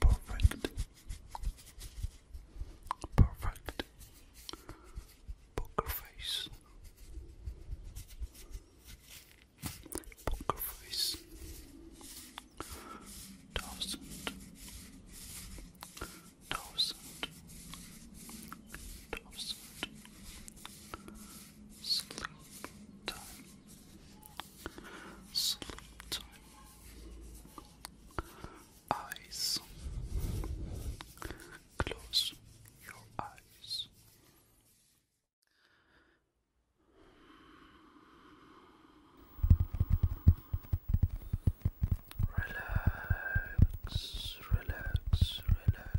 Perfect. Perfect. Poker face. Poker face. Thousand. Thousand. Thousand. Sleep time. Sleep time. Eyes. Close your eyes. Relax, relax, relax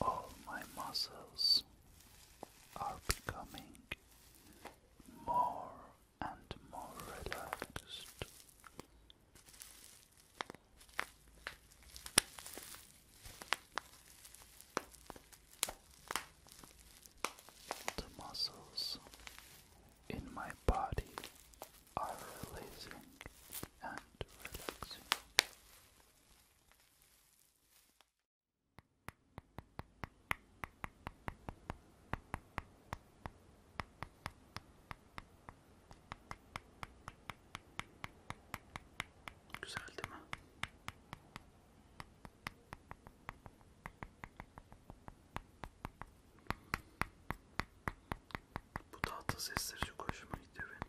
All my muscles are becoming more and more relaxed. The muscles in my body are releasing and relaxing. Güzel değil mi? Bu tatlı sesleri çok hoşuma gidiyor benim.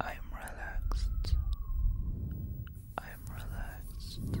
I am relaxed. I am relaxed.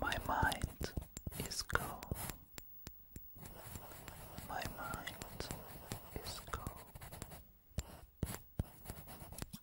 My mind is calm. My mind is calm.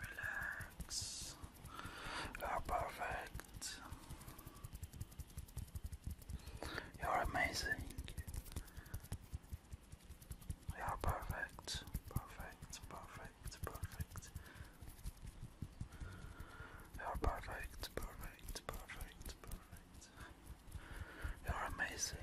Relax. You're perfect. You're amazing. Yeah, perfect, perfect, perfect, perfect. You're perfect, perfect, perfect, perfect. You're amazing.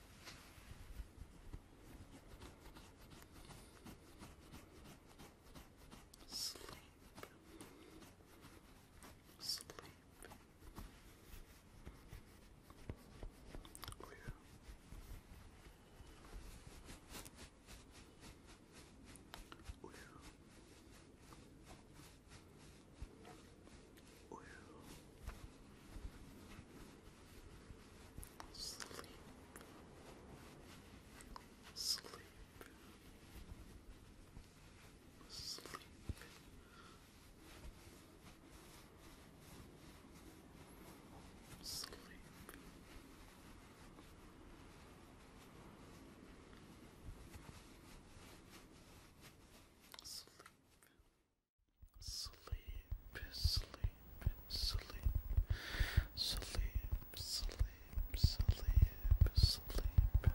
Sleep. Sleep. Oh, yeah. Oh, yeah. Will sleep, sleep, sleep. Sleep. Sleep. Sleep, sleep, sleep, sleep, sleep, sleep, sleep.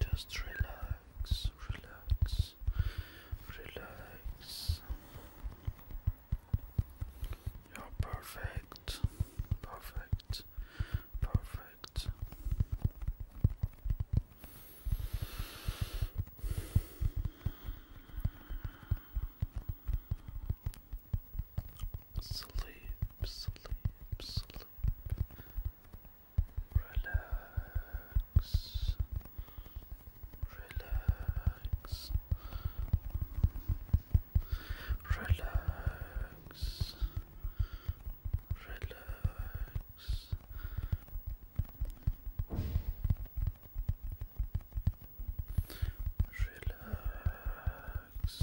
Just relax, relax, relax. You're perfect, perfect, Perfect. Sleep, sleep, sleep. Relax, relax, relax relax. Relax, relax, relax,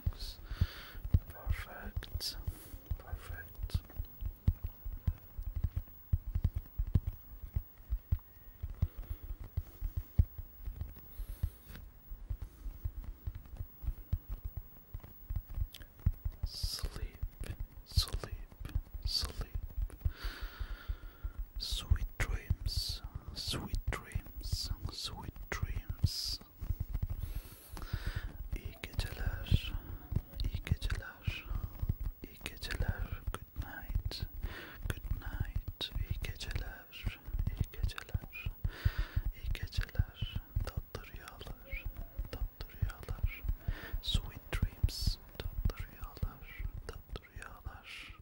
relax. Perfect, perfect. Sleep, sleep, sleep. Sweet dreams, sweet dreams, sweet dreams. İyi geceler, iyi geceler. geceler, iyi geceler, good night, good night, iyi geceler, iyi geceler, iyi geceler, tatlı rüyalar, tatlı rüyalar, sweet dreams, tatlı rüyalar, tatlı rüyalar.